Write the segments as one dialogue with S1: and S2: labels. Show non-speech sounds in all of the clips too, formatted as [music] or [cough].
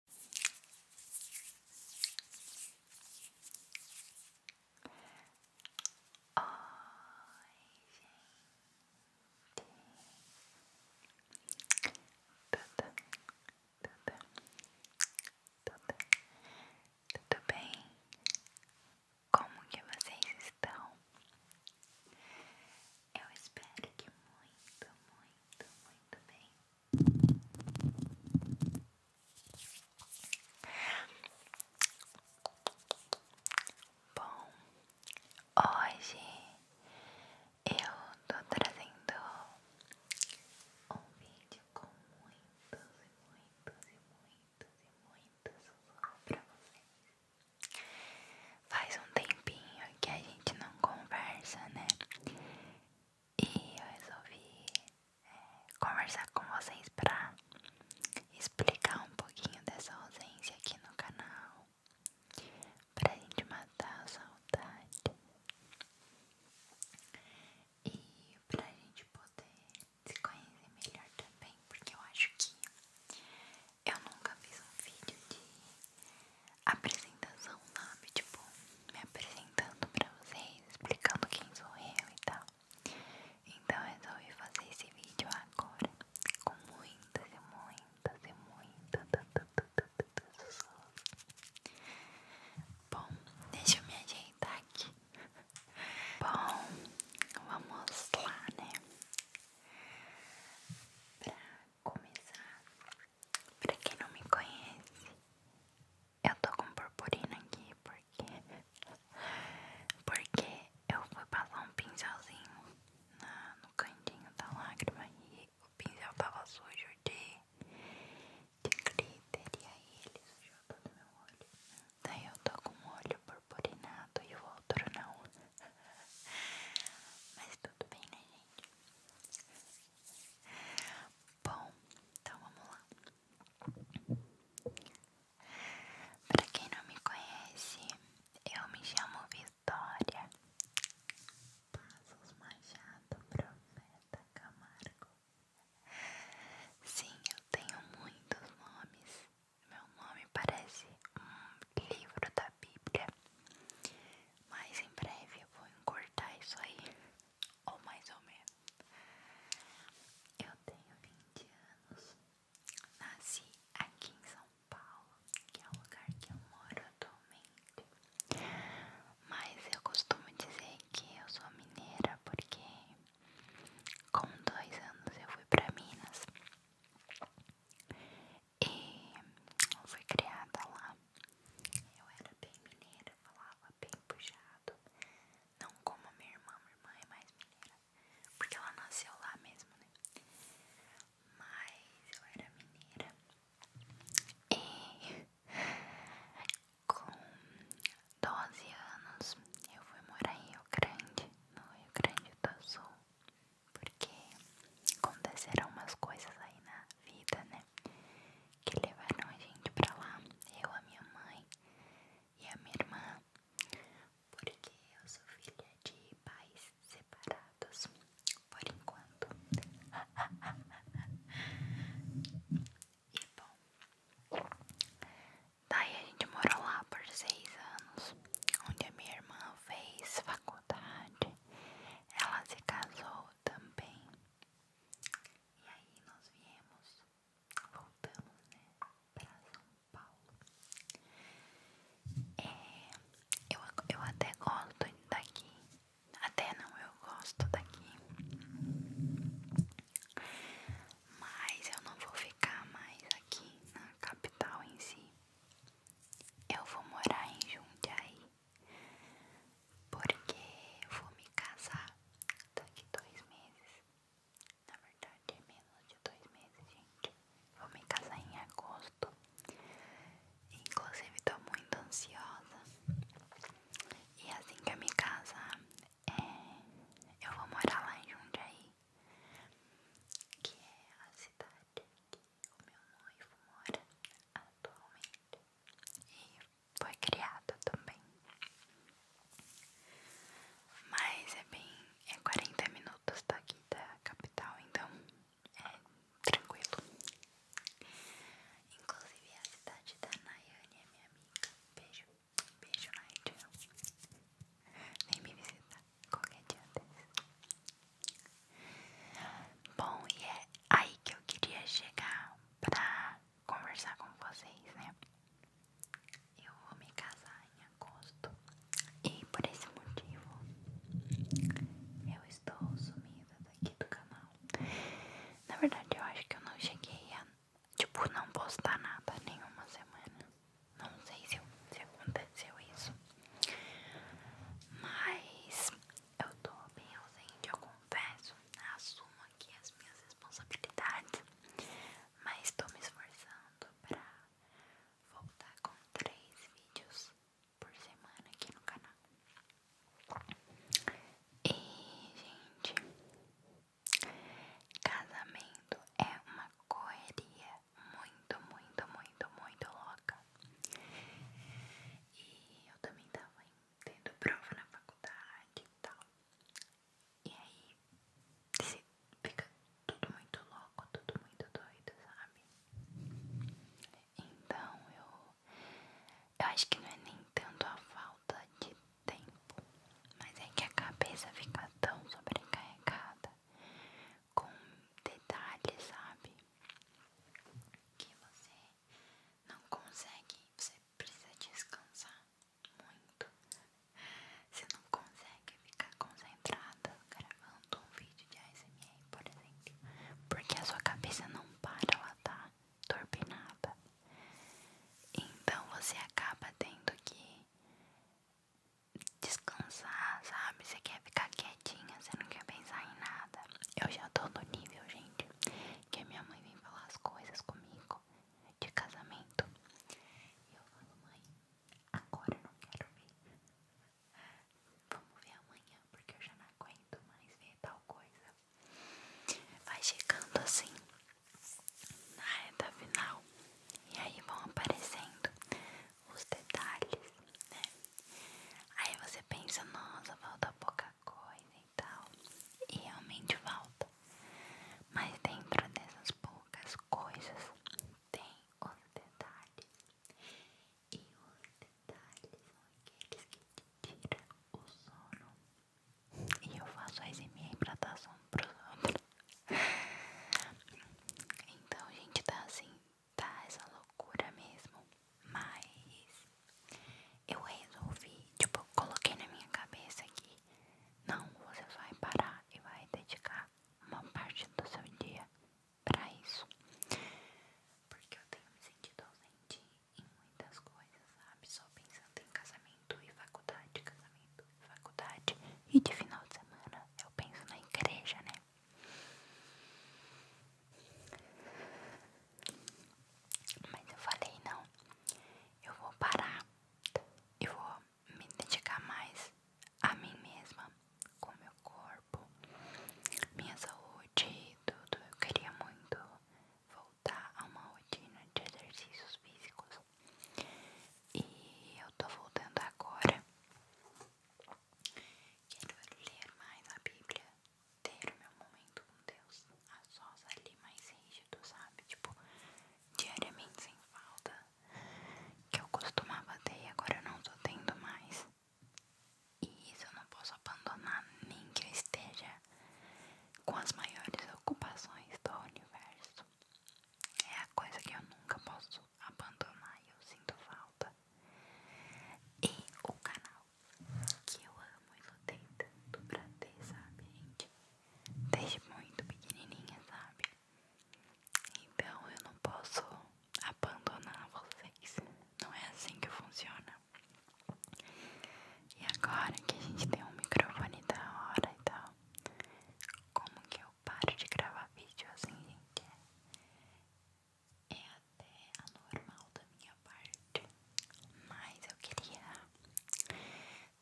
S1: tudo, tudo bem? Como que vocês estão? Eu espero que muito, muito, muito bem. Bom, hoje eu tô trazendo um vídeo com muitos e muitos e muitos e muitos sussurros pra Faz um tempinho que a gente não conversa, né? e eu resolvi é, conversar com vocês pra explicar um pouquinho dessa ausência aqui no canal, pra gente matar a saudade e pra gente poder se conhecer melhor também, porque eu acho que eu nunca fiz um vídeo de apresentação, sabe? Tipo, me apresentando pra vocês, explicando quem sou eu e tal. Então eu resolvi fazer esse vídeo agora com muitas e muitas e muitas. Bom, deixa eu me ajeitar aqui. Bom, vamos lá, né? Pra começar, Pra quem não me conhece, eu tô com purpurina aqui porque porque eu fui passar um pincelzinho no cantinho da lágrima e o pincel tava sujo de, glitter e aí ele sujou todo meu olho. Daí eu tô com um olho purpurinado e o outro não. [laughs] Mas tudo bem, né, gente? Bom, então vamos lá. Pra quem não me conhece, eu me chamo Vitória. Passos Machado, Profeta Camargo. Sim, eu tenho muitos nomes. Meu nome parece um livro da Bíblia. Mas em breve eu vou encurtar isso aí ou mais ou menos. Eu tenho 20 anos, nasci aqui em São Paulo, que é o lugar que eu moro atualmente. Mas eu costumo dizer que eu sou mineira porque com dois anos eu fui para Minas e fui criada lá. Eu era bem mineira, falava bem puxado. Não como a minha irmã, minha irmã é mais mineira. Porque ela nasceu lá mesmo, né? Mas eu era mineira. E com 12 anos eu fui morar em Rio Grande, no Rio Grande do Sul. Porque aconteceram umas coisas aí na vida, né? Que levaram a gente pra lá, eu, a minha mãe e a minha irmã, porque eu sou filha de pais separados, por enquanto. [laughs] e bom, daí a gente morou lá por seis anos, onde a minha irmã fez faculdade, ela se casou também. E aí nós viemos, voltamos, né, pra São Paulo. É, eu, eu até gosto daqui, até não, eu gosto daqui, mas eu não vou ficar mais aqui na capital em si. Eu vou morar em Jundiaí porque vou me casar daqui dois meses. Na verdade é menos de dois meses, gente. Vou me casar em agosto. Inclusive tô muito ansiosa. E assim que eu me casar, é, eu vou morar lá em Jundiaí. Que é a cidade que o meu noivo mora atualmente. E foi criado também. Mas é bem. é 40 minutos daqui da capital, então é tranquilo. Inclusive a cidade da Nayane é minha amiga. Beijo, beijo Nayane. vem me visitar qualquer dia desse. Bom, e é aí que eu queria chegar pra conversar com vocês, né? Eu vou me casar em agosto e por esse motivo eu estou sumida daqui do canal. Na verdade, eu acho que eu não cheguei a, tipo, não postar nada uma semana. Não sei se aconteceu isso, mas eu tô bem ausente, eu confesso, assumo aqui as minhas responsabilidades, mas estou me esforçando para voltar com três vídeos por semana aqui no canal. E, gente, casamento é uma correria muito, muito, muito, muito louca. E eu também tava em tendo prova na faculdade e tal. E aí fica tudo muito louco, tudo muito doido, sabe? Então eu, eu acho que não é nem tanto a falta de tempo, mas é que a cabeça fica tão sobrecarregada com detalhes, sabe? Que você não consegue, você precisa descansar muito. Você não consegue ficar concentrada gravando um vídeo de ASMR, por exemplo, porque a sua cabeça não para, ela tá turbinada. Então você acaba tendo que descansar, sabe? Você quer ficar quietinha, você não quer pensar em nada. Eu já tô no nível, gente, que a minha mãe vem falar as coisas comigo de casamento. E eu falo, mãe, agora não quero ver. Vamos ver amanhã, porque eu já não aguento mais ver tal coisa. Vai chegando assim na reta final. E aí vão aparecendo os detalhes, né? Aí você pensa, nossa, falta pouca coisa, tal, e realmente falta. Mas dentro dessas poucas coisas tem os detalhes. E os detalhes são aqueles que te tiram o sono. E eu faço a minha hidratação pros outros. Então, gente, tá assim, tá essa loucura mesmo. Mas eu resolvi, tipo, coloquei na minha cabeça aqui não, você vai parar e vai dedicar uma parte do seu dia pra isso. Porque eu tenho me sentido ausente em muitas coisas, sabe? Só pensando em casamento e faculdade, casamento e faculdade. E de final de semana eu penso na igreja, né? Mas eu falei, não, eu vou parar eu vou me dedicar mais a mim mesma, com meu corpo, minha saúde, tudo. Eu queria muito voltar a uma rotina de exercícios físicos e eu tô voltando agora. Quero ler mais a Bíblia ter o meu momento com Deus a sós ali mais rígido, sabe? Tipo, diariamente sem falta. Que eu costumava ter e agora eu não tô tendo mais. E isso eu não posso abandonar nem que eu esteja com as maiores ocupações do universo. É a coisa que eu nunca posso abandonar e eu sinto falta. E o canal que eu amo e lutei tanto pra ter, sabe, gente? Desde muito pequenininha, sabe? Então eu não posso abandonar vocês. Não é assim que funciona. E agora que a gente tem um microfone da hora e tal, como que eu paro de gravar vídeo assim, gente? É até anormal da minha parte, mas eu queria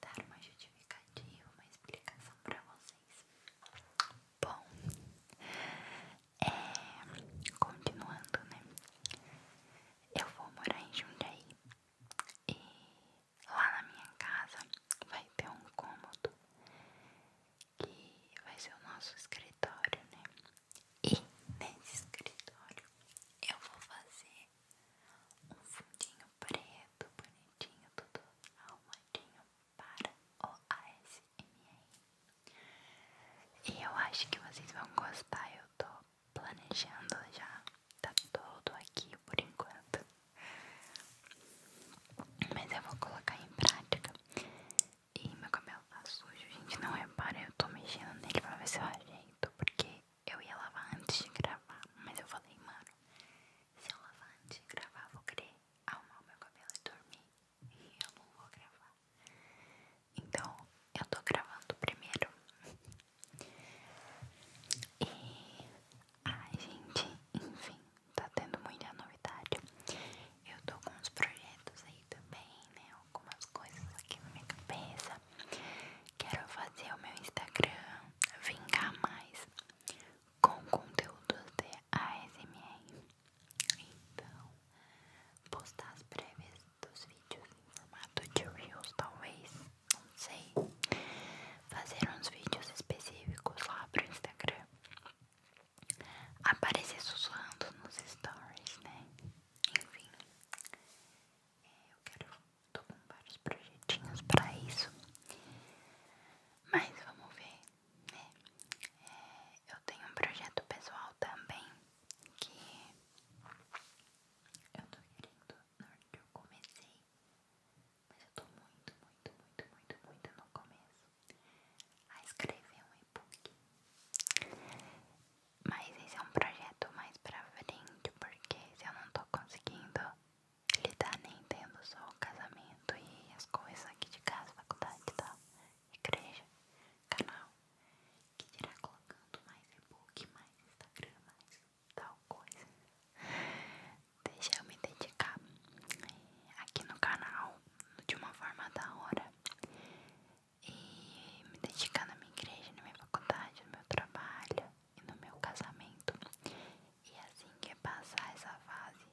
S1: dar uma justificativa, uma explicação para vocês. Bom, é, continuando, né? Eu vou morar em Jundiaí e lá na minha casa vai ter um cômodo que vai ser o nosso escritório, né? E nesse escritório eu vou fazer um fundinho preto, bonitinho, tudo arrumadinho para o ASMR. E eu acho que vocês vão gostar, eu tô planejando já, tá todo aqui por enquanto. Mas eu vou colocar em prática. E meu cabelo tá sujo, gente, não repara, eu tô mexendo nele pra ver se eu ajeito, porque eu ia lavar antes de gravar, mas eu falei, mano, se eu lavar antes de gravar, vou querer arrumar o meu cabelo e dormir. E eu não vou gravar. Então, eu tô gravando primeiro. E. Ai, gente, enfim, tá tendo muita novidade. Eu tô com uns projetos aí também, né? Algumas coisas aqui na minha cabeça. Quero fazer o meu Instagram vingar mais com conteúdos de ASMR. Então, postar as prévias dos vídeos em formato de Reels, talvez, não sei. Fazer uns vídeos específicos lá pro Instagram. Aparecer sussurrando nos stories, né? Enfim, é, eu quero Tô com vários projetinhos pra isso. Mas vamos ver, né? É, eu tenho um projeto pessoal também que eu tô querendo, na eu comecei, mas eu tô muito, muito, muito, muito, muito no começo a escrever um e-book. Mas esse é um projeto mais pra frente, porque se eu não tô conseguindo lidar
S2: nem tendo só o casamento e as coisas aqui de casa, faculdade e tal, igreja, canal, que dirá colocando mais e mais Instagram, mais tal coisa. Deixa eu me dedicar eh, aqui no canal de uma forma da hora e me dedicar na minha igreja, na minha faculdade, no meu trabalho e no meu casamento. E é assim que passar essa fase,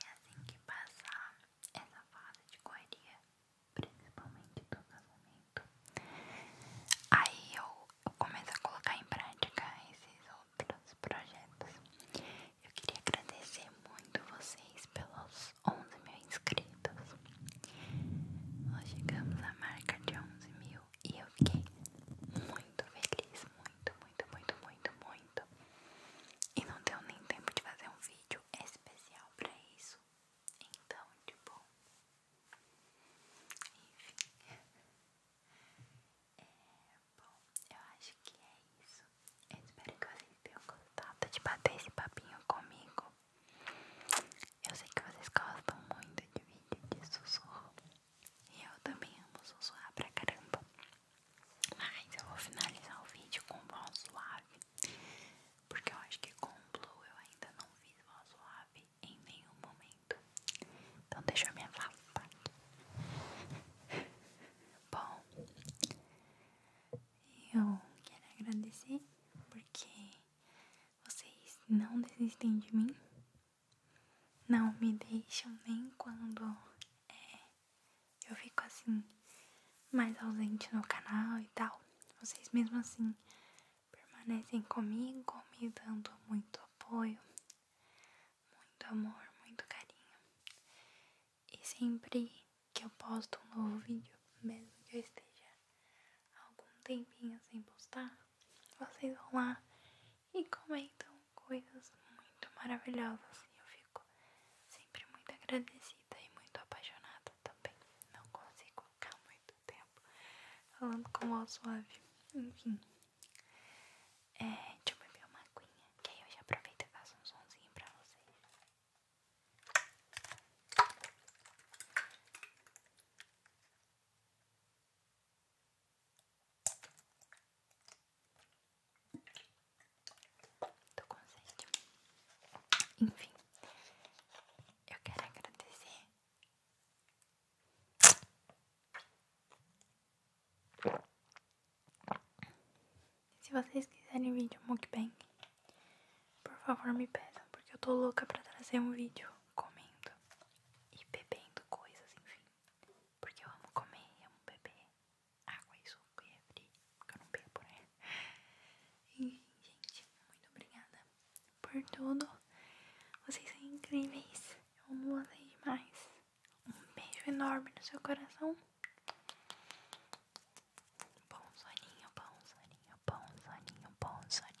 S2: e é assim que passar essa fase de coerência principalmente do casamento, aí eu, eu começo a colocar em prática esses outros projetos. Eu queria agradecer muito vocês pelos 11 mil inscritos. Nós chegamos à marca de 11 mil e eu fiquei muito feliz, muito, muito, muito, muito, muito. E não deu nem tempo de fazer um vídeo especial pra isso. Então, tipo, enfim. É, bom, eu acho que é isso. espero que vocês tenham gostado de bater esse papinho comigo. Eu sei que vocês gostam muito de vídeo sussurro. eu também amo sussurrar pra caramba. Mas eu vou finalizar o vídeo com voz suave. Porque eu acho que com o Blue eu ainda não fiz voz suave em nenhum momento. Então deixa eu me afastar. [laughs] Bom, eu quero agradecer porque vocês não desistem de mim não me deixam nem quando é, eu fico assim mais ausente no canal e tal. Vocês mesmo assim permanecem comigo, me dando muito apoio, muito amor, muito carinho. E sempre que eu posto um novo vídeo, mesmo que eu esteja algum tempinho sem postar, vocês vão lá e comentam coisas muito maravilhosas. E eu fico sempre muito agradecida e muito apaixonada também. Não consigo ficar muito tempo falando com voz suave. Enfim, é, deixa eu beber uma aguinha, que aí eu já aproveito e faço um sonzinho pra vocês. Tô com sede. Enfim, eu quero agradecer. Se vocês quiserem vídeo mukbang, por favor me peçam, porque eu tô louca pra trazer um vídeo comendo e bebendo coisas, enfim. Porque eu amo comer, eu amo beber água e suco e refri, porque eu não bebo, né? Enfim, gente, muito obrigada por tudo. Vocês são incríveis. Eu amo vocês demais. Um beijo enorme no seu coração.
S1: Bom soninho, bom soninho, bom soninho, bom soninho.